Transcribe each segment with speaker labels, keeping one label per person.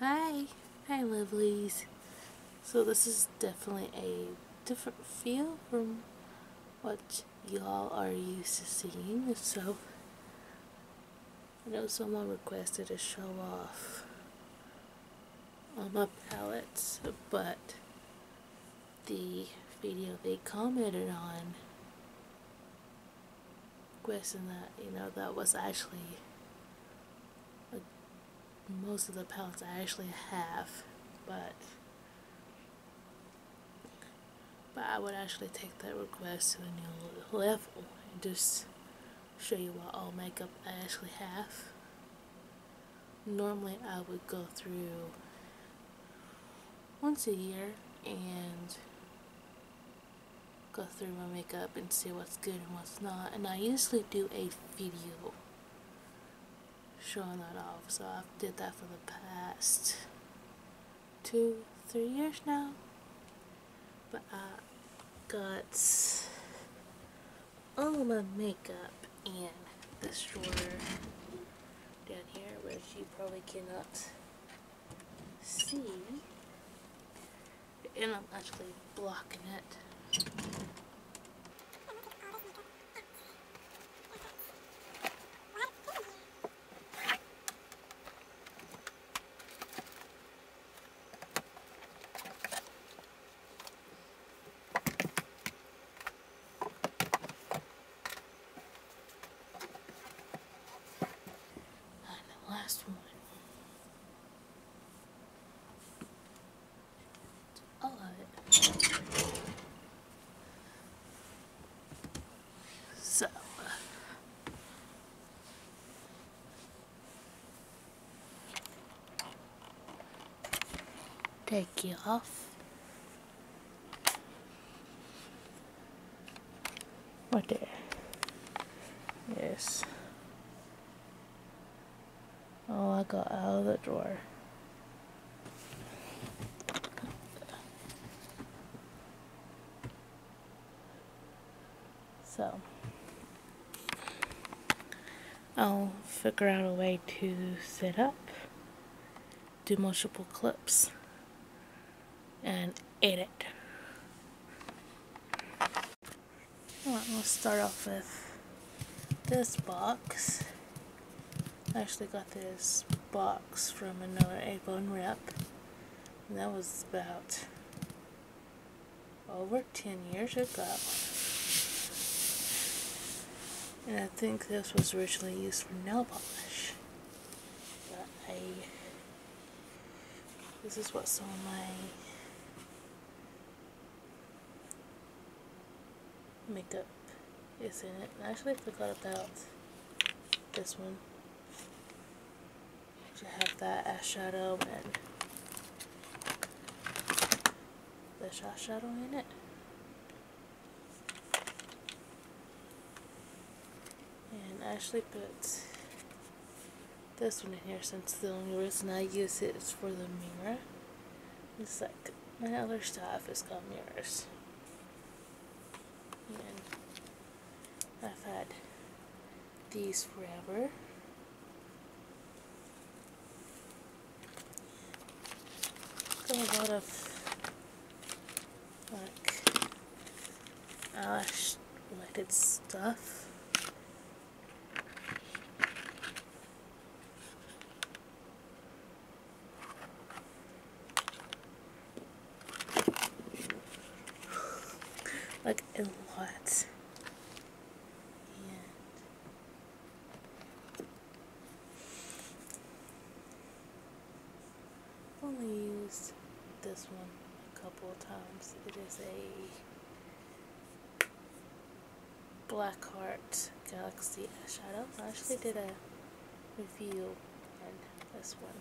Speaker 1: Hi, hi lovelies. So this is definitely a different feel from what y'all are used to seeing. So I know someone requested a show off on my palettes, but the video they commented on question that you know that was actually most of the pellets I actually have, but but I would actually take that request to a new level and just show you what all makeup I actually have. Normally I would go through once a year and go through my makeup and see what's good and what's not. And I usually do a video showing that off. So I've did that for the past two, three years now. But I got all my makeup in this drawer down here, which you probably cannot see and I'm actually blocking it. And the last one. I So. Take you off. What there yes Oh, I got out of the drawer so I'll figure out a way to set up do multiple clips and edit I'm gonna start off with this box. I actually got this box from another Avon rep. And that was about over 10 years ago. And I think this was originally used for nail polish. But I this is what's on my makeup is in it. I actually forgot about this one. I have that eyeshadow and the eyeshadow in it. And I actually put this one in here since the only reason I use it is for the mirror. It's like my other stuff is called mirrors. I've had these forever. Got a lot of like eyelash related stuff like a lot. And only used this one a couple of times. It is a Blackheart Galaxy eyeshadow. I actually did a review on this one.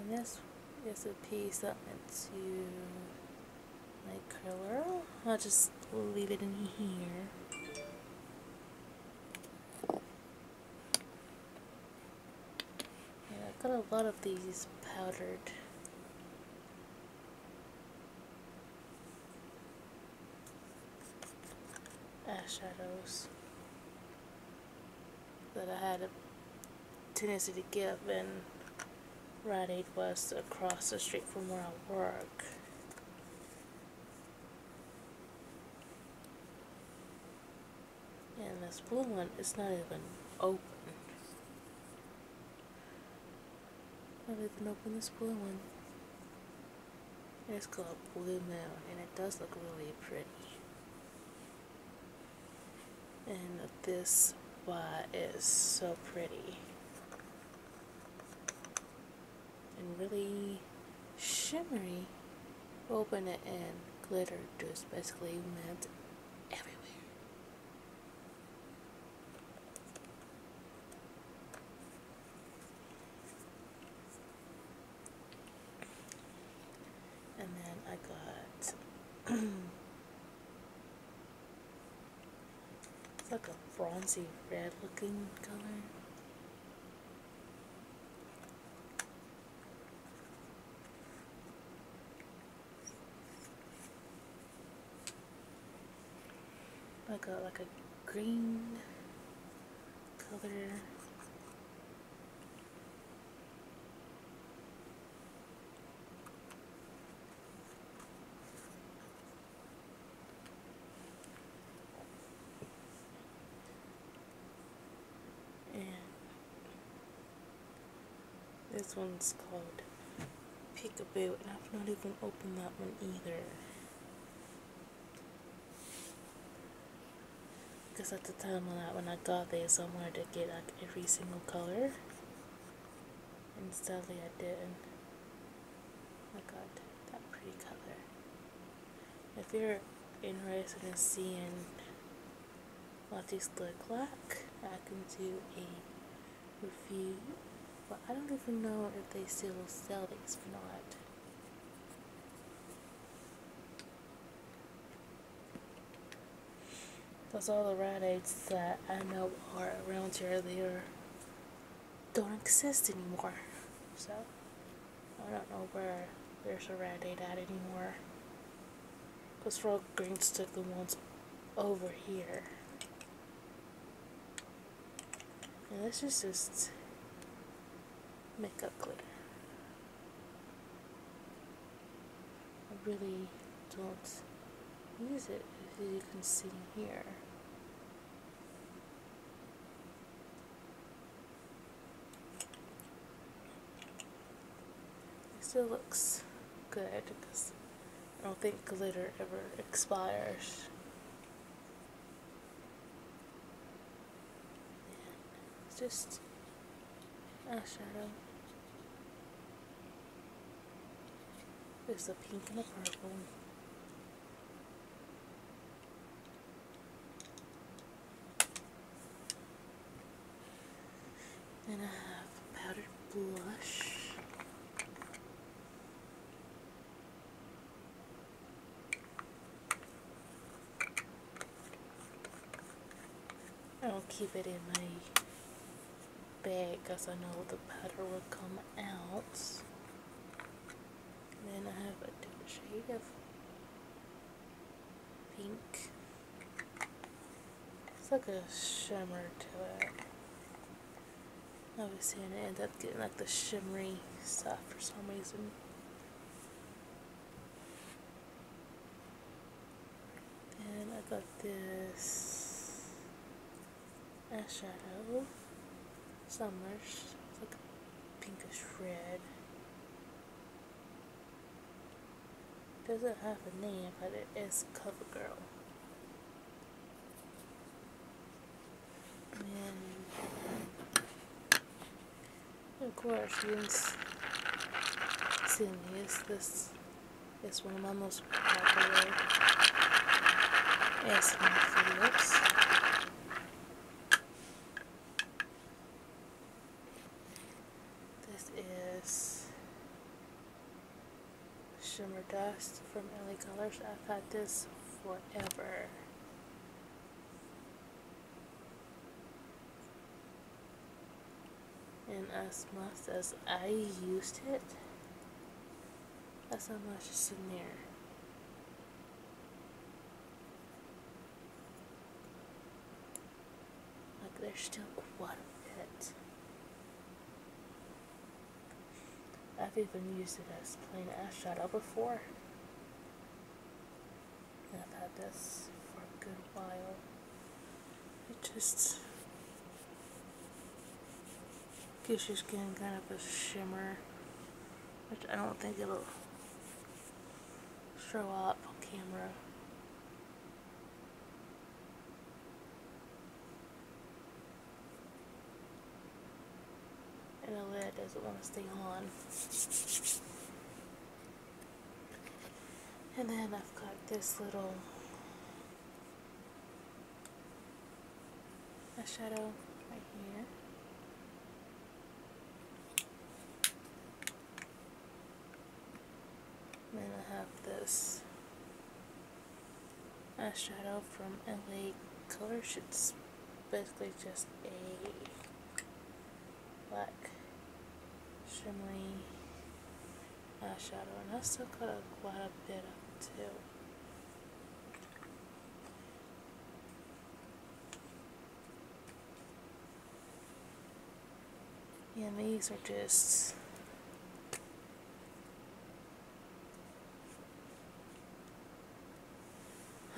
Speaker 1: And this is a piece that went to my curler. I'll just leave it in here. I've got a lot of these powdered. Eyeshadows that I had a tendency to give and Rite Aid was across the street from where I work. And this blue one its not even open. i Not even open this blue one. It's called Blue Moon, and it does look really pretty. And this one is so pretty and really shimmery open it and glitter just basically meant everywhere and then I got it's like a bronzy red looking color like a like a green color and this one's called Peekaboo and I've not even opened that one either because at the time when that, when I got this I wanted to get like every single color and sadly I didn't I got that pretty color if you're interested in seeing what these look like, I can do a review. But I don't even know if they still sell these or not. That's all the rad Aids that I know are around here. They don't exist anymore. So. I don't know where there's a red 8 at anymore. Because Frog Green took the ones over here. And this is just makeup glitter. I really don't use it as you can see here. It still looks good because I don't think glitter ever expires. just eyeshadow. There's a pink and a purple. Then I have powdered blush. I'll keep it in my bag because I know the powder will come out. then I have a different shade of pink. It's like a shimmer to it. Obviously, I end up getting like the shimmery stuff for some reason. And I got this eyeshadow, Summers, it's like a pinkish red doesn't have a name, but it is cover girl. of course, you can see this. is one of my most popular asking Phillips. This is Shimmer Dust from LA Colors. I've had this forever. And as much as I used it, that's how much is in there. Like there's still quite a bit. I've even used it as plain ash shadow before. And I've had this for a good while. It just gives just skin kind of a shimmer, which I don't think it'll show up on camera. And the lid doesn't want to stay on. And then I've got this little eyeshadow right here. Then I have this eyeshadow from LA Color It's basically just a black shimmery eyeshadow. And I still got a, quite a bit of too. And these are just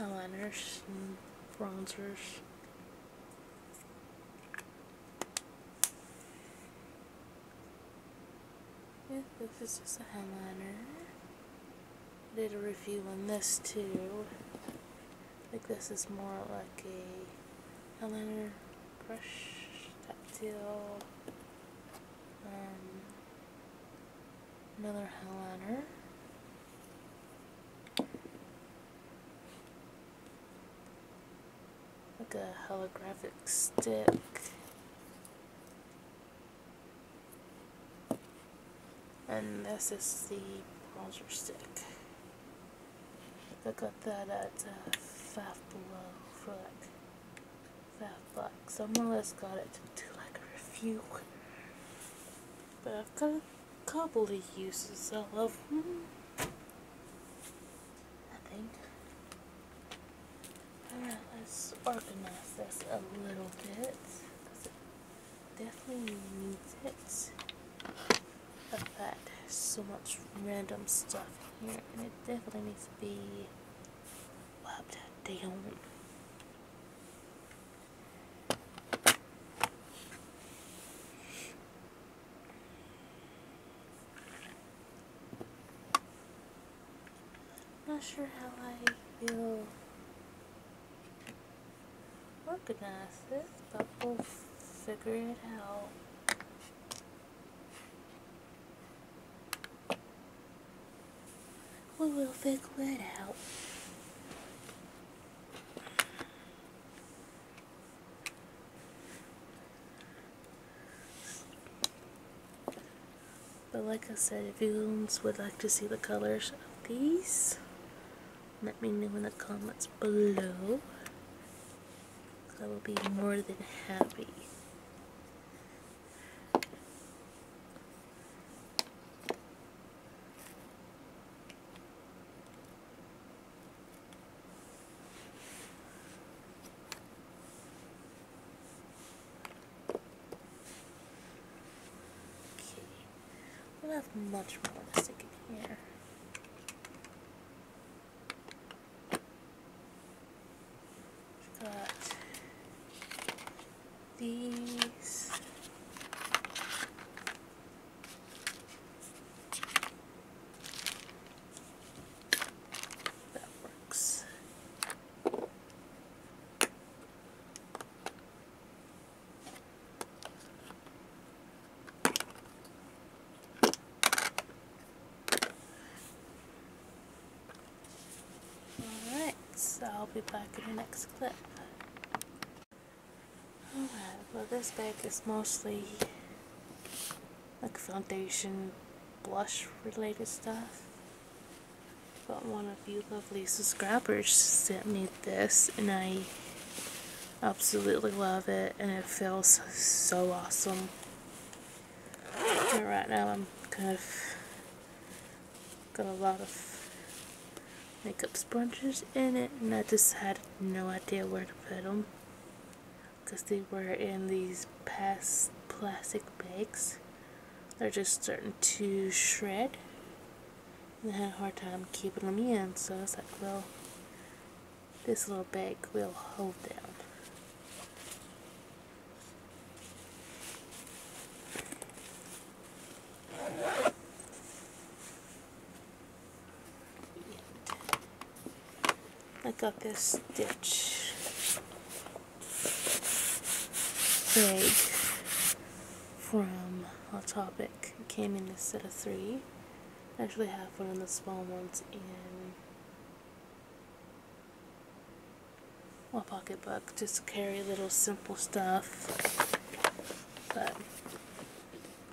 Speaker 1: eyeliners and bronzers. Yeah, this is just a eyeliner. Did a review on this too. Like this is more like a eyeliner brush that deal. Um, another eyeliner. Like a holographic stick and this is the Bollinger Stick. I got that at uh, uh, Five Below for like five bucks. I more or less got it to do like a review. But I've got a couple of uses. I love them. I think. Alright, let's organize this a little bit definitely needs it. But that there's so much random stuff in here, and it definitely needs to be wiped down. not sure how I feel organize this, we'll figure it out. We will figure it out. But like I said, if you would like to see the colors of these, let me know in the comments below. I will be more than happy. Okay. We'll have much more to stick in here. got these. That works. Alright, so I'll be back in the next clip. Alright, well this bag is mostly like foundation, blush related stuff. But one of you lovely subscribers sent me this and I Absolutely love it and it feels so awesome. right now I'm kind of got a lot of makeup sponges in it and I just had no idea where to put them because they were in these past plastic bags. They're just starting to shred I had a hard time keeping them in, so I was like, well, this little bag will hold them. I got this stitch bag from Autopic. It came in a set of three actually have one of the small ones in my pocketbook just to carry little simple stuff. But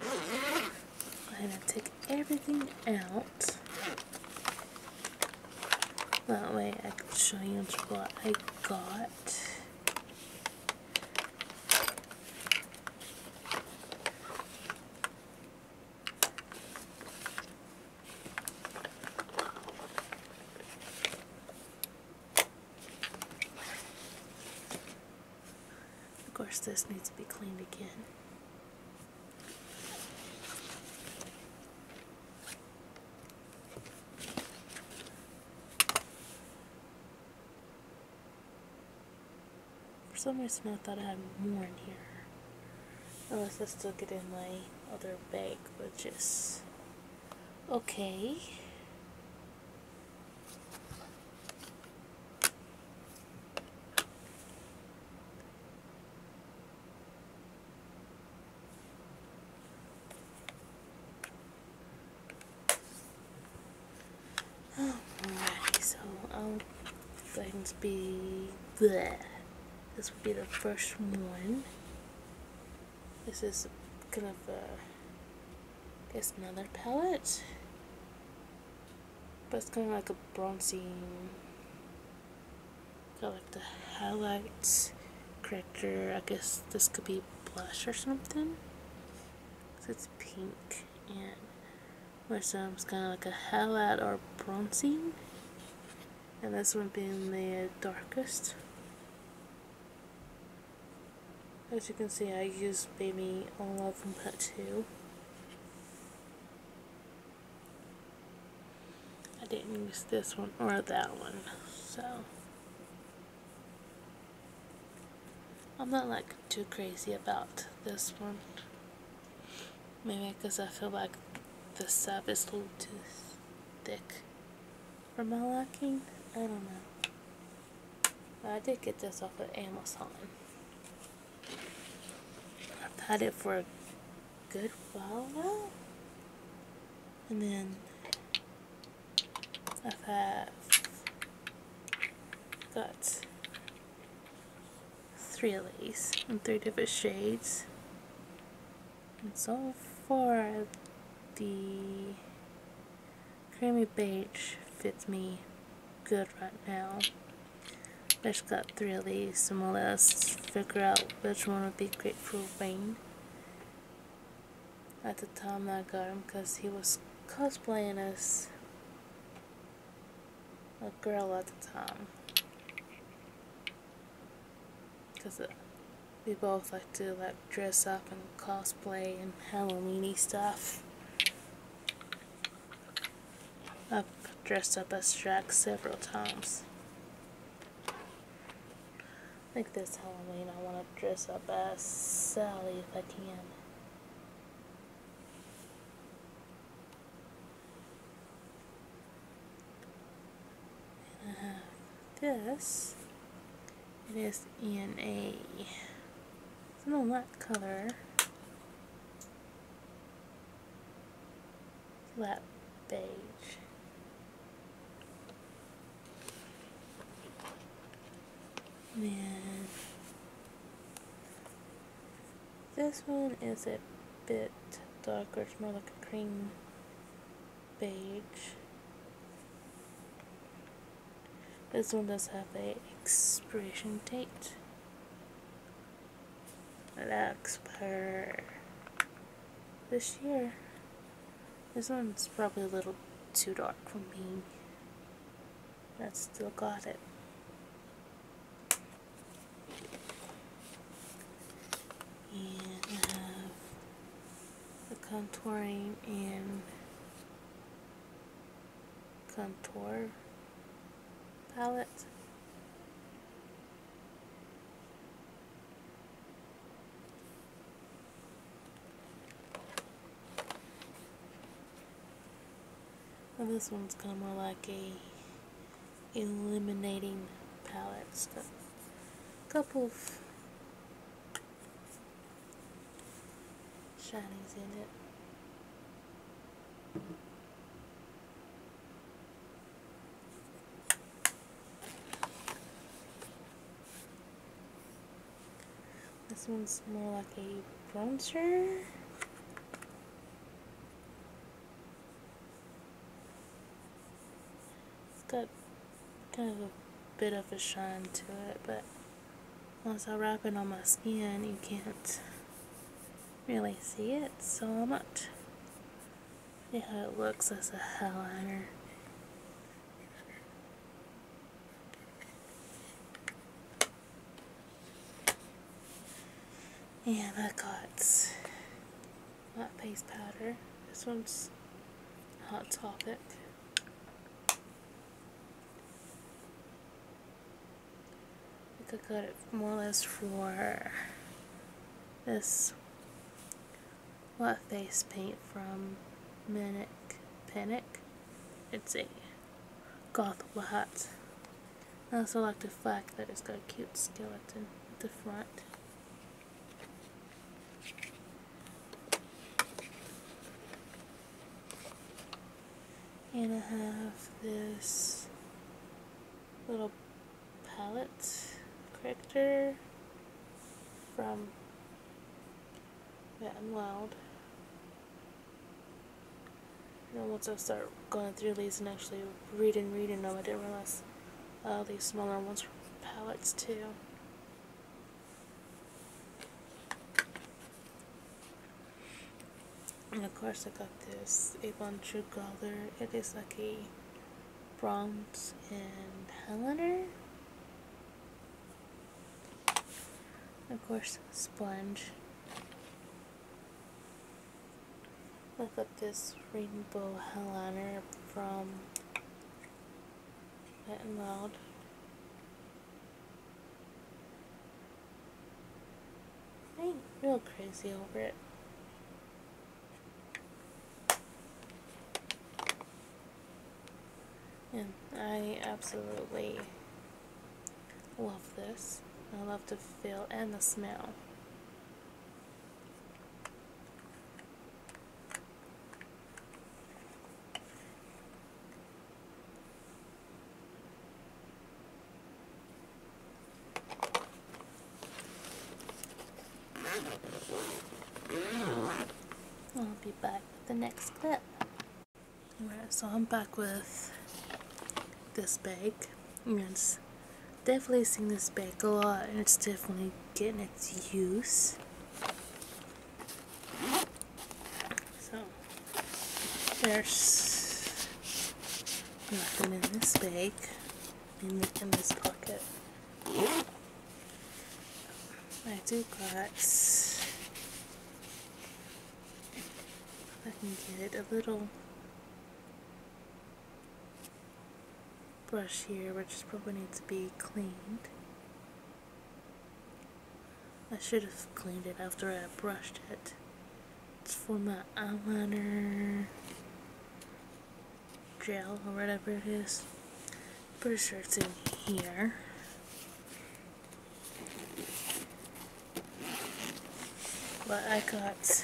Speaker 1: I'm going to take everything out. That way I can show you what I got. Of course, this needs to be cleaned again. For some reason I thought I had more in here. Unless I still get in my other bag, which is okay. Alrighty, so I'll going to be bleh. This will be the first one. This is kind of a, I guess another palette. But it's kind of like a bronzy, got like the highlights, corrector, I guess this could be blush or something. it's pink and where some's kind of like a highlight or bronzing and this one being the darkest as you can see I used baby all of them but two I didn't use this one or that one so I'm not like too crazy about this one. Maybe because I feel like the sap is a little too thick for my liking. I don't know. But I did get this off of Amazon. I've had it for a good while now. And then I've had got three lace in three different shades. And so for the creamy beige fits me good right now. I just got three of these, we'll let's figure out which one would be great for Wayne. At the time I got him, because he was cosplaying as a girl at the time. Because we both like to like dress up and cosplay and Halloweeny stuff. I've dressed up as Shrek several times. I think this Halloween I want to dress up as Sally if I can this. It is in a it's in a light color. Flat beige. And this one is a bit darker, it's more like a cream beige. This one does have a expiration date. That expire this year. This one's probably a little too dark for me. I still got it. And I have the contouring and contour palette this one's kind of more like a illuminating palette. So a couple of shinies in it. This one's more like a bronzer. It's got kind of a bit of a shine to it, but once I wrap it on my skin, you can't really see it so I'm not See how it looks as a eyeliner. And I got matte face powder. This one's Hot Topic. I think I got it more or less for this wet face paint from Manic Panic. It's a goth hat. I also like the fact that it's got a cute skeleton at the front. And I have this little palette character from Vet and Wild. And know, once I start going through these and actually reading, reading them, I didn't realize uh, these smaller ones were pallets too. And of course I got this a bunch of Color. It is like a bronze and highlighter. Of course, sponge. I up this rainbow eyeliner from Wet n Wild. I ain't real crazy over it. Yeah, I absolutely Love this. I love the feel and the smell. I'll be back with the next clip. Alright, so I'm back with this bag. And it's definitely seen this bag a lot and it's definitely getting its use. So, there's nothing in this bag, in, in this pocket. I do got I can get a little brush here, which probably needs to be cleaned. I should have cleaned it after I brushed it. It's for my eyeliner gel or whatever it is. Pretty sure it's in here what I got.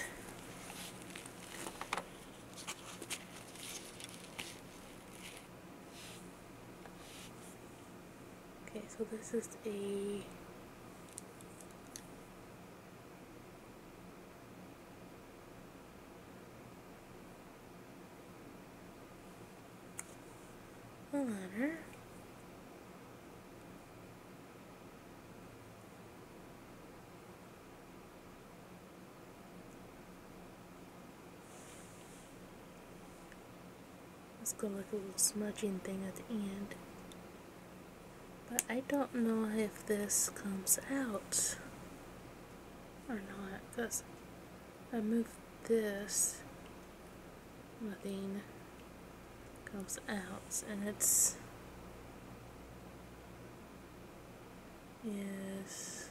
Speaker 1: Okay, so this is a a letter it's got like a little smudging thing at the end. But I don't know if this comes out or not because I moved this nothing comes out and it's yes,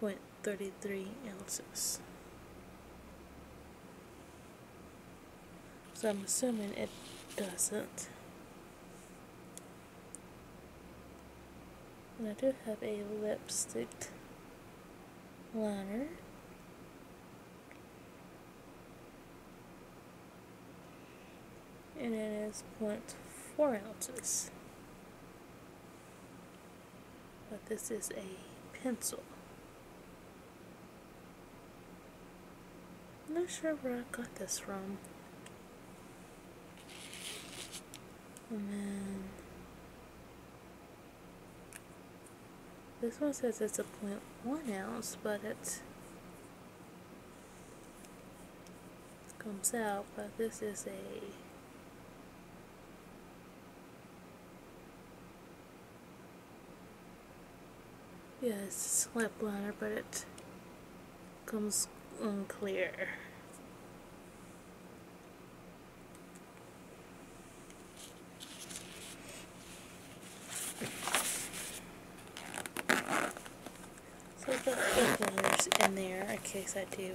Speaker 1: 0.33 ounces so I'm assuming it doesn't and I do have a lipstick liner and it is 0.4 ounces. But this is a pencil. not sure where I got this from. And this one says it's a 0.1 ounce, but it comes out, but this is a Yeah, it's a lip liner, but it comes unclear. So the openers in there in case I do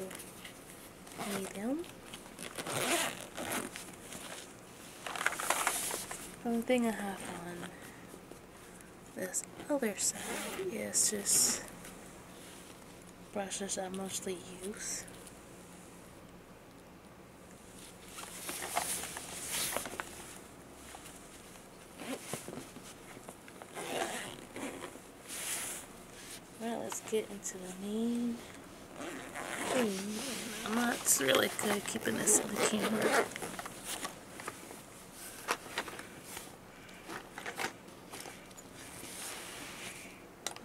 Speaker 1: need them. Only thing I have on this other side is just brushes I mostly use. Alright, let's get into the main I'm not really good keeping this in the camera.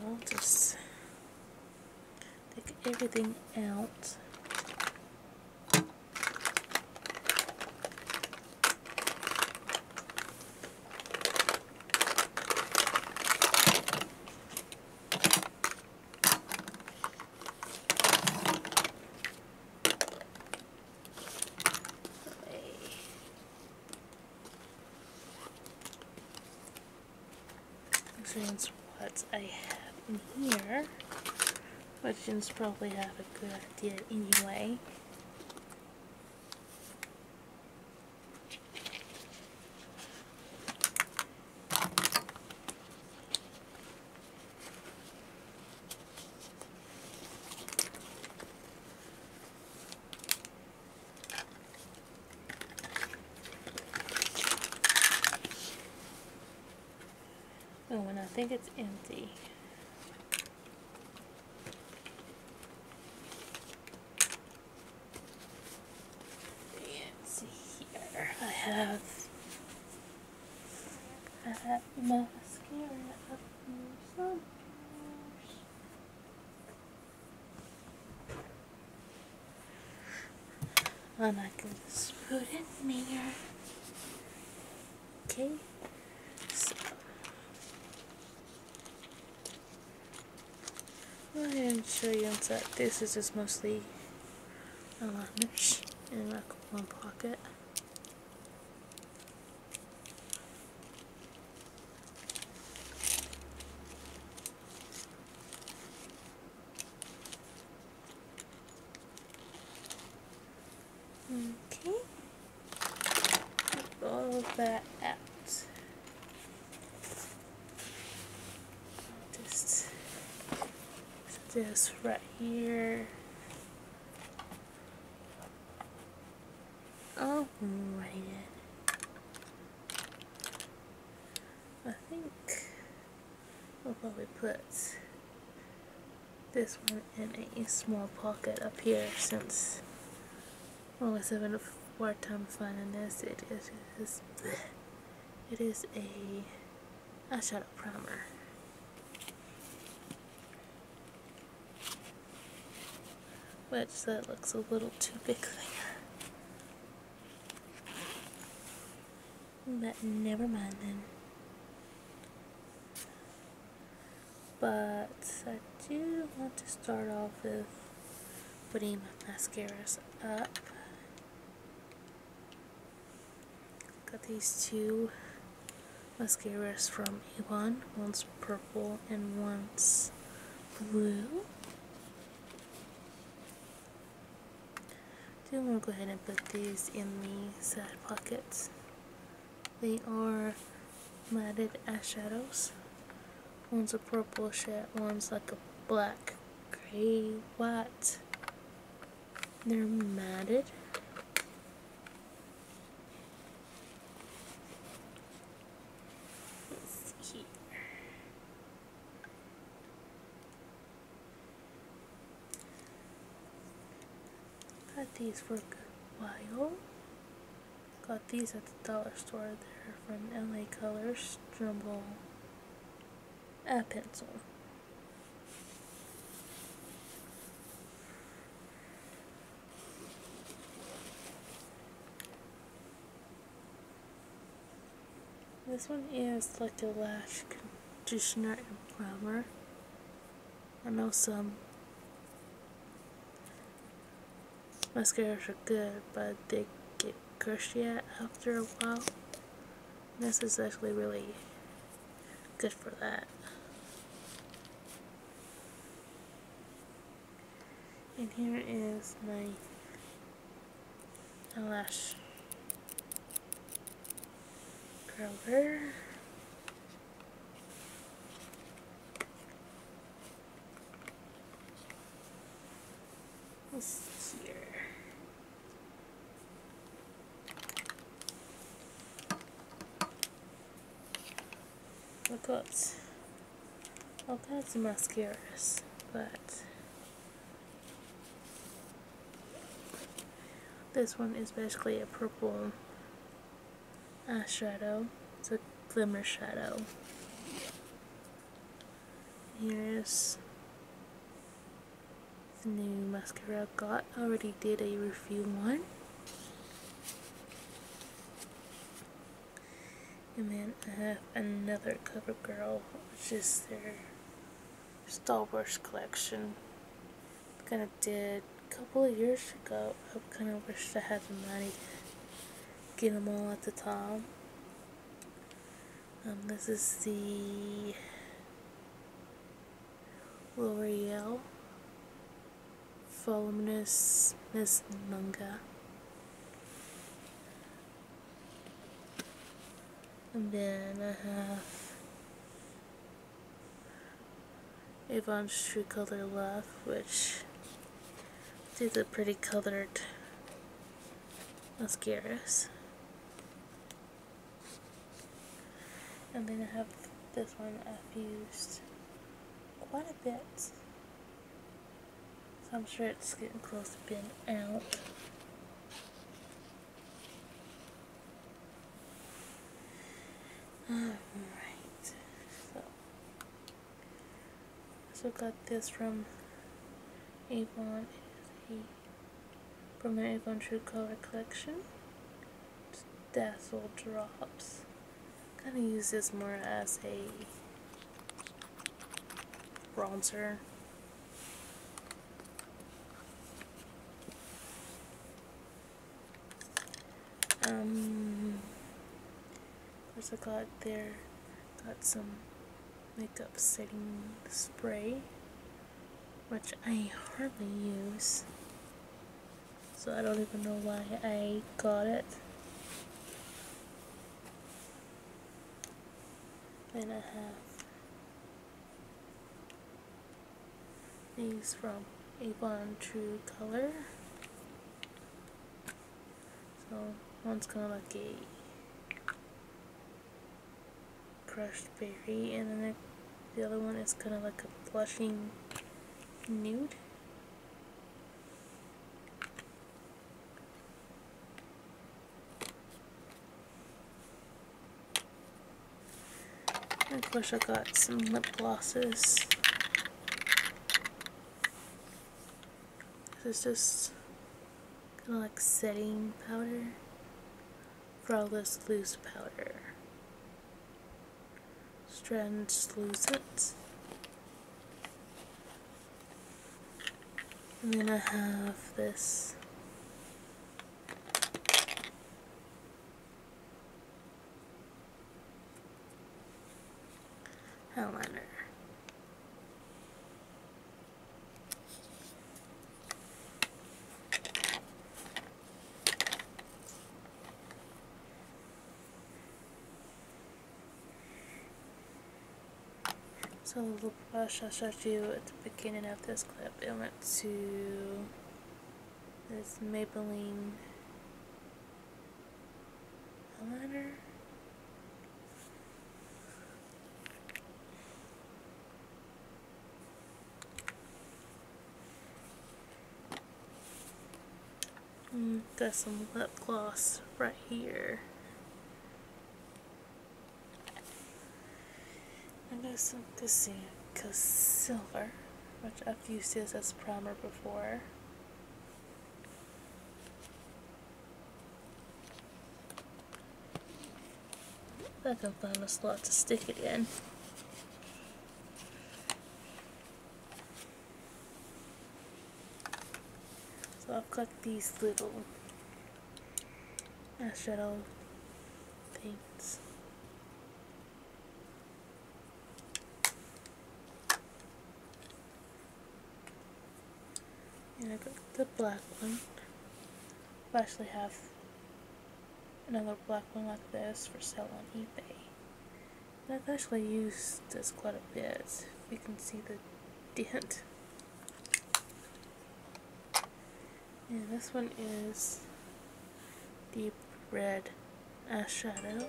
Speaker 1: I'll just take everything out Examines what I have in here, which is probably have a good idea anyway. Oh, and I think it's empty. Let's see here. I have I have mascara I'm not going to put it in there. Okay. So. What I'm going show you inside. This is just mostly a um, in my one pocket. Okay. All that out. Just this right here. Oh, Alright I think I'll probably put this one in a small pocket up here since well, I was having a hard time finding this. It is, it is, a eyeshadow primer. Which that looks a little too big there. But never mind then. But I do want to start off with putting my mascaras up. Got these two mascaras from A1. One's purple and one's blue. Do want to go ahead and put these in the side pockets. They are matted eyeshadows. One's a purple shade, one's like a black, gray, white. They're matted. Let's see here. Got these for a good while. Got these at the dollar store there from LA Colors Jumbo a pencil. This one is like a lash conditioner and primer. I know some mascaras are good, but they get crusty after a while. This is actually really good for that. And here is my and lash curler. What's here? We have got all kinds of mascaras, but this one is basically a purple uh, shadow. It's a glimmer shadow. Here's the new mascara i got. I already did a review one. And then I have another CoverGirl, which is Star collection. I kind of did a couple of years ago. I kind of wished I had the money to get them all at the time. Um, this is the L'Oreal Voluminous Miss and then I have Avon's True Color Love which these are pretty colored mascaras and then I have this one I've used quite a bit so I'm sure it's getting close to being out Alright, so so got this from Avon from my Avon True Color collection. Dazzle Drops. Kinda use this more as a bronzer um, what's it there? Got some makeup setting spray, which I hardly use. So I don't even know why I got it. Then I have these from Avon True Color. So one's kind of like a crushed berry, and then the other one is kind of like a blushing nude. I course I got some lip glosses. This is just kind of like setting powder for all this loose powder. Translucent. And then I have this Helena. So i brush show showed you at the beginning of this clip. It went to this Maybelline eyeliner. got mm, some lip gloss right here. I'm And there's some Cassia silver, which I've used this as primer before. If I can find a slot to stick it in. So I've got these little as little things. And I got the black one. I actually have another black one like this for sale on eBay. And I've actually used this quite a bit. You can see the dent. And this one is deep red eyeshadow.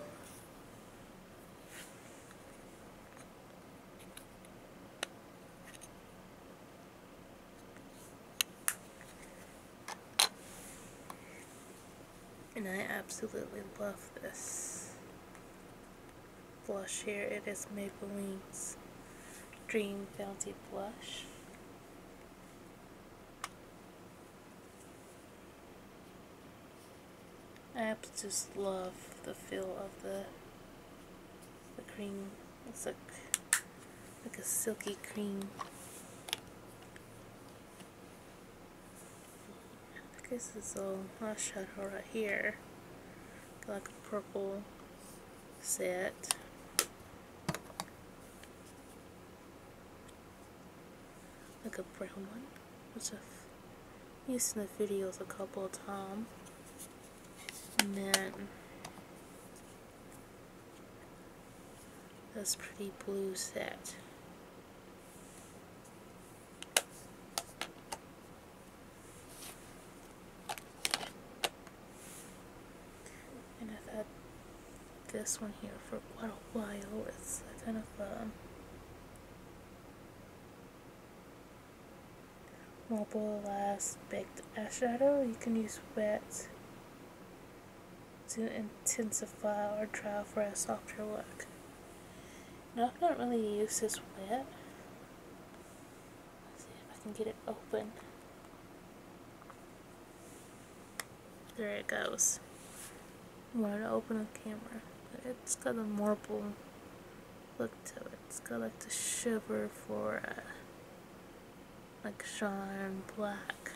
Speaker 1: And I absolutely love this blush here. It is Maybelline's Dream Bounty Blush. I just love the feel of the the cream. It's like like a silky cream. I guess it's a eyeshadow right here. Like purple set like a brown one which I've used in the videos a couple of times and then that's pretty blue set and I've had this one here for quite a while. It's kind of a mobile glass baked eyeshadow. You can use wet to intensify or try for a softer look. Now I've not really used this wet. Let's see if I can get it open. There it goes. Want to open the camera? It's got a marble look to it. It's got like the shiver for uh, like shine black.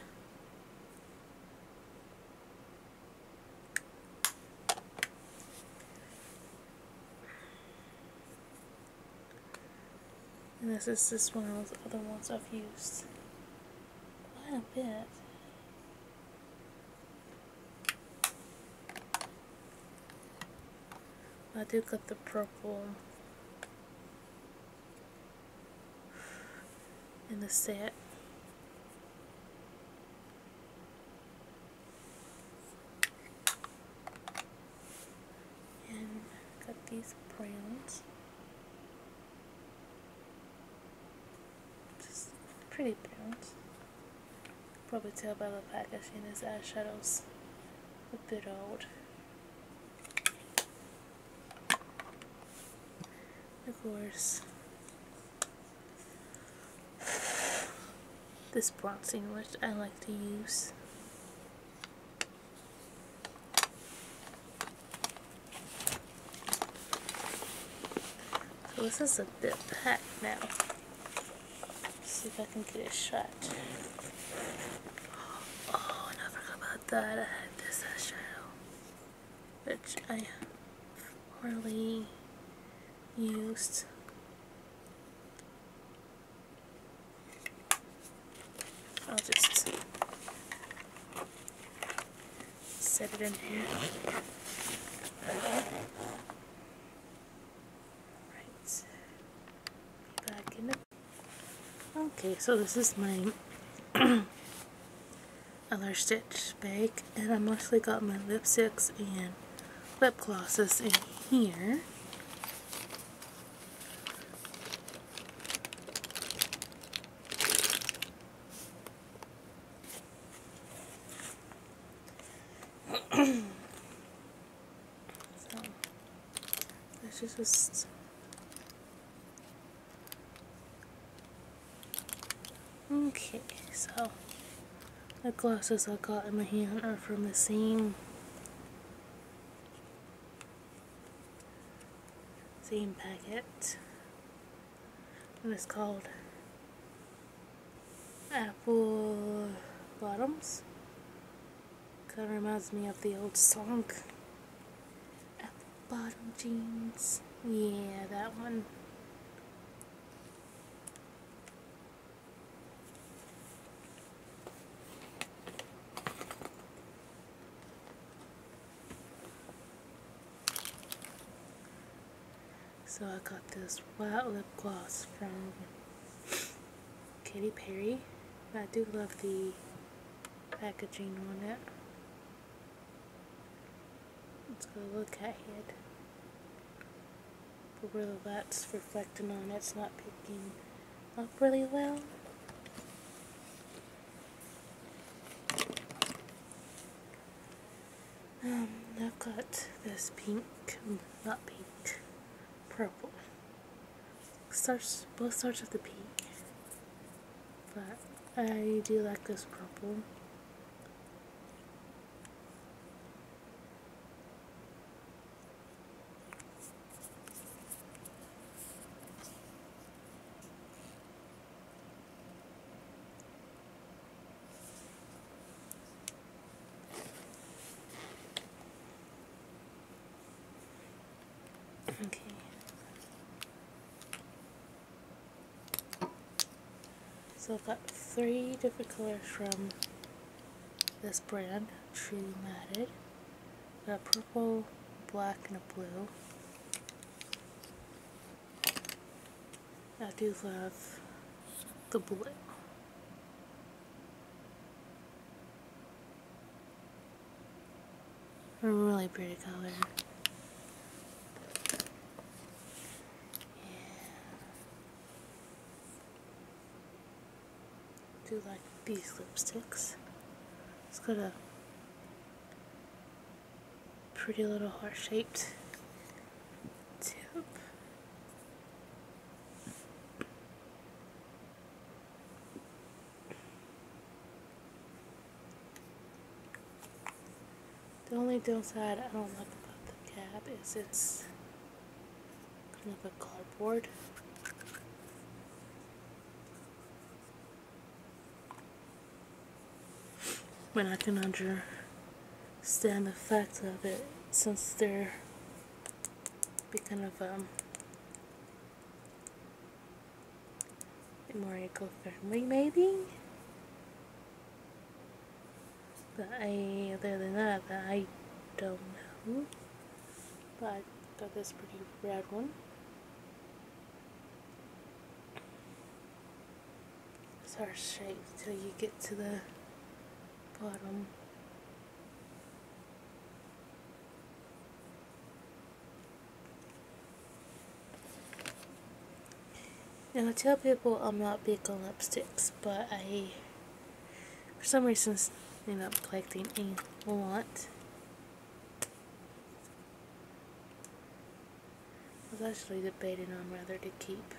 Speaker 1: And this is just one of those other ones I've used quite a bit. I do got the purple in the set and got these browns. Just pretty browns. Probably tell by the packaging his eyeshadows a bit old. Of course, this bronzing which I like to use this is a bit packed now. see if I can get a shot. Oh, and I forgot about that. I had which I really used. I'll just set it in here. Right. Back in it. Okay, so this is my other stitch bag and I mostly got my lipsticks and lip glosses in here. Okay, so the glasses I got in my hand are from the same zine packet. It was called Apple Bottoms. Kind of reminds me of the old song. Apple Bottom Jeans. Yeah, that one. So I got this Wild Lip Gloss from Katy Perry. I do love the packaging on it. Let's go look at it. But the light's reflecting on It's not picking up really well. Um, I've got this pink, not pink, purple. Starts, both starts with the pink, but I do like this purple. Okay. So I've got three different colors from this brand, Tree Matted. I've purple, black, and a blue. I do love the blue. really pretty color. do like these lipsticks. It's got a pretty little heart-shaped tip. The only downside I don't like about the cap is it's kind of a cardboard. But I can understand the fact of it since they're becoming of um, more eco-friendly maybe? But other than that, I don't know. But I got this pretty rad one. Start shape till you get to the bottom. Now I tell people I'm not big on lipsticks, but I, for some reason, end up collecting a lot. I was actually debating on whether to keep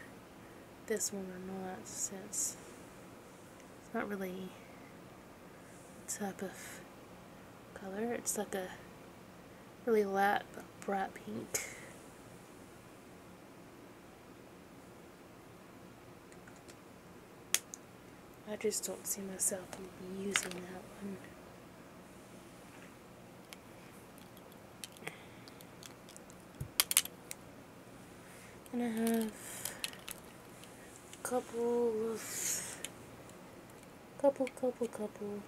Speaker 1: this one or not since it's not really a type of color. It's like a really light bright pink. I just don't see myself using that one. And I have a couple of couple couple couple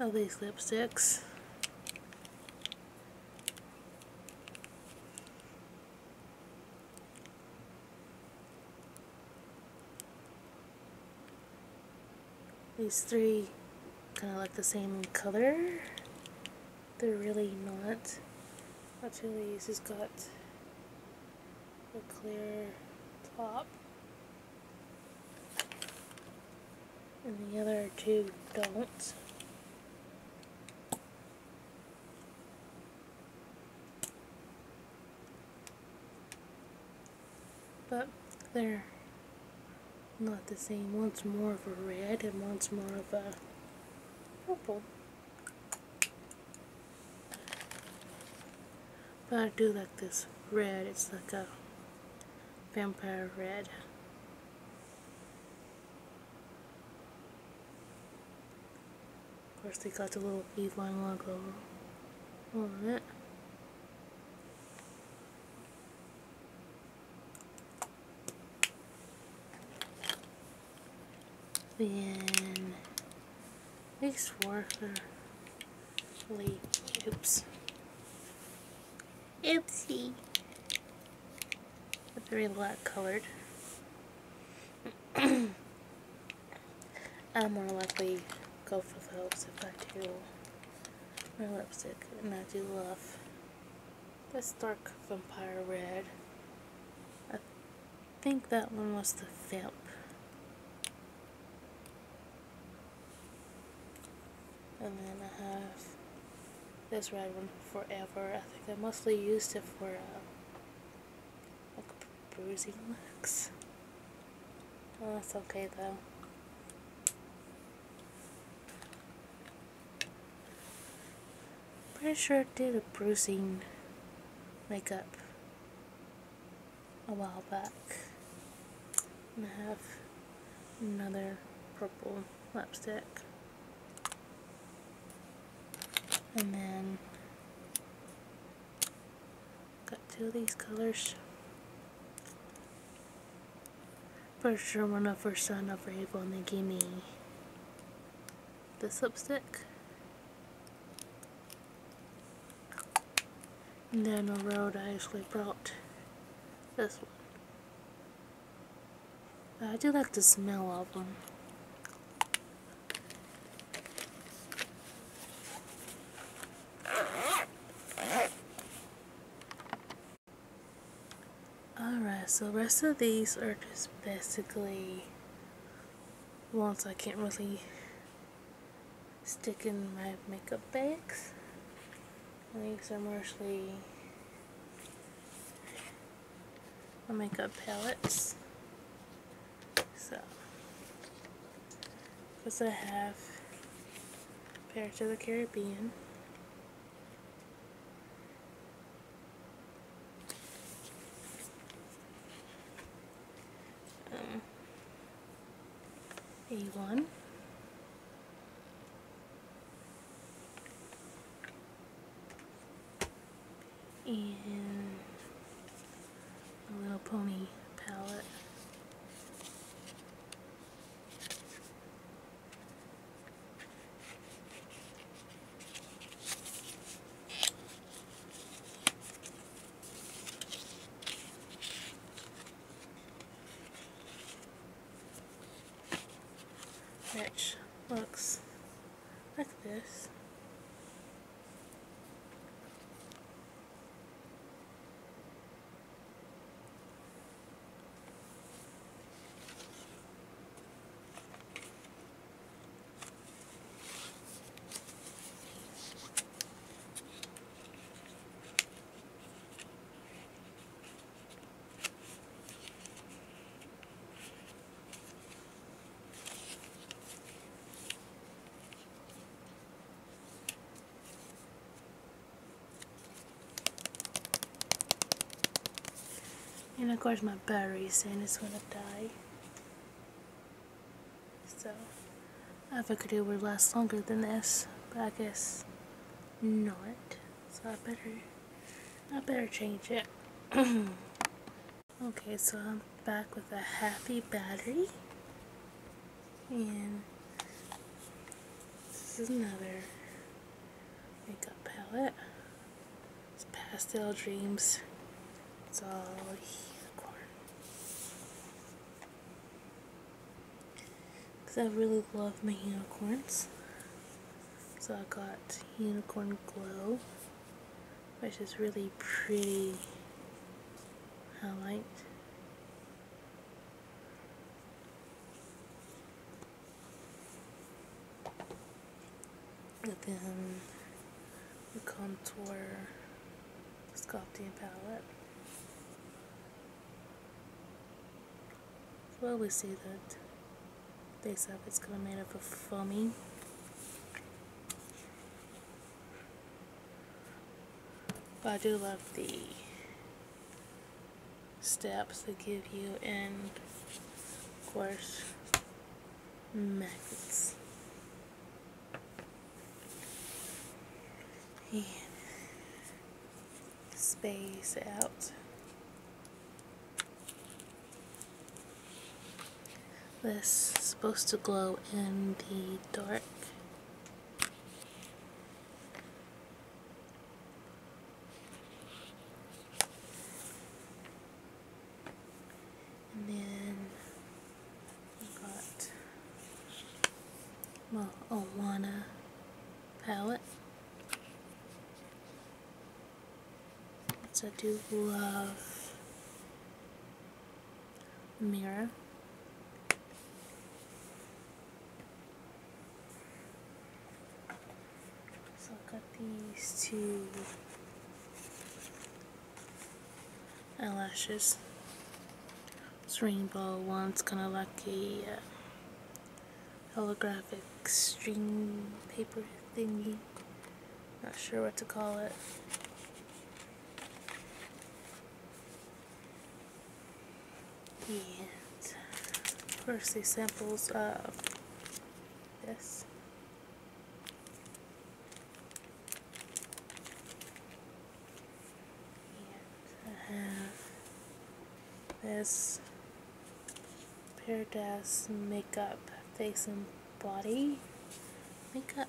Speaker 1: all these lipsticks. These three kind of like the same color. They're really not. Actually, these? has got the clear top. And the other two don't. But they're not the same. One's more of a red and one's more of a purple. But I do like this red. It's like a vampire red. Of course, they got the little Avon logo on it. Then these were really oops. Oopsie. But they're light colored. I'm more likely go for those if I do my lipstick and I do love this dark vampire red think that one was the FIP. And then I have this red one forever. I think I mostly used it for uh, like bruising looks. Well, oh, that's okay though. Pretty sure I did a bruising makeup a while back. I have another purple lipstick. And then got two of these colors. Pretty sure when I first signed up for Avon they gave me this lipstick. And down the road I actually brought this one. I do like the smell of them. Alright, so rest of these are just basically once I can't really stick in my makeup bags. These are mostly my makeup palettes. So, because I have Pirates of the Caribbean um, A1. And a little pony palette which looks like this. And of course my battery is in it's gonna die. So I figured it would last longer than this, but I guess not. So I better I better change it. okay, so I'm back with a happy battery. And this is another makeup palette pastel dreams. It's all unicorn. Because I really love my unicorns. So I got Unicorn Glow, which is really pretty highlight. And then the contour sculpting palette. Well, we see that this up is going to made up of foamy. But I do love the steps that give you in, of course magnets and space out this supposed to glow in the dark and then we got my Awana palette. So I do love mirror. So I got these two eyelashes. It's rainbow one's kind of like a uh, holographic string paper thingy. Not sure what to call it. And of course, these samples of this. I have this Paradise Makeup Face and Body Makeup.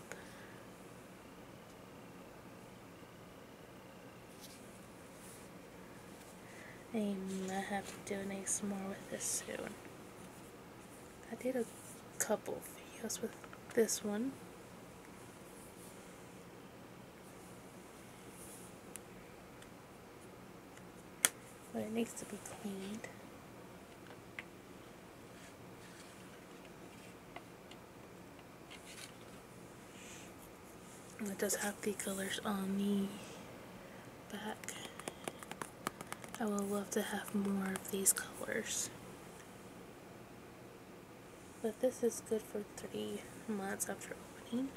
Speaker 1: I might have to donate some more with this soon. I did a couple videos with this one. But it needs to be cleaned. And it does have the colors on the back. I would love to have more of these colors. But this is good for three months after opening.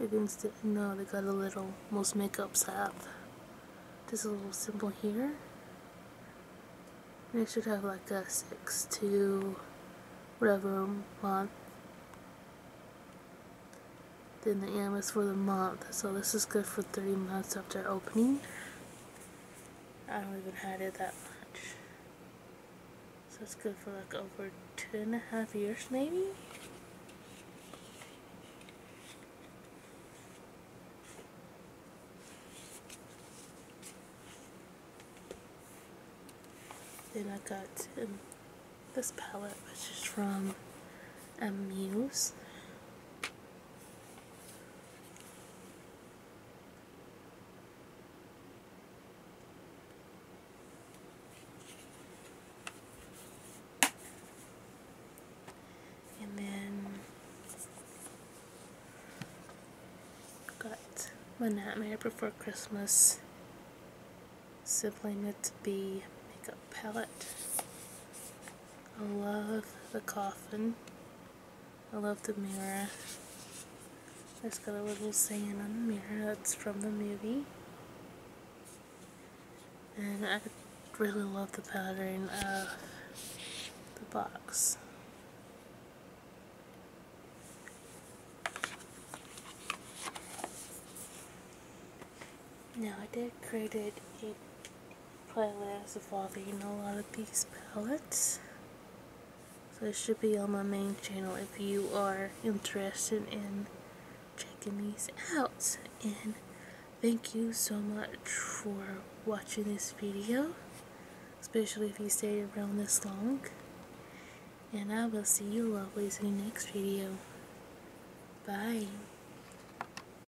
Speaker 1: Everyone's didn't know they got a little, most makeups have. just a little symbol here. They should have like a 6 to whatever month. Then the M for the month so this is good for 30 months after opening. I don't even had it that much. So it's good for like over two and a half years maybe? Then I got this palette which is from Amuse. And then got My Nightmare Before Christmas Sibling It to Be makeup palette. I love the coffin. I love the mirror. It's got a little saying on the mirror that's from the movie. And I really love the pattern of the box. Now I decorated it playlist involving a lot of these palettes. So it should be on my main channel if you are interested in checking these out. And thank you so much for watching this video, especially if you stayed around this long. And I will see you lovelies in the next video. Bye.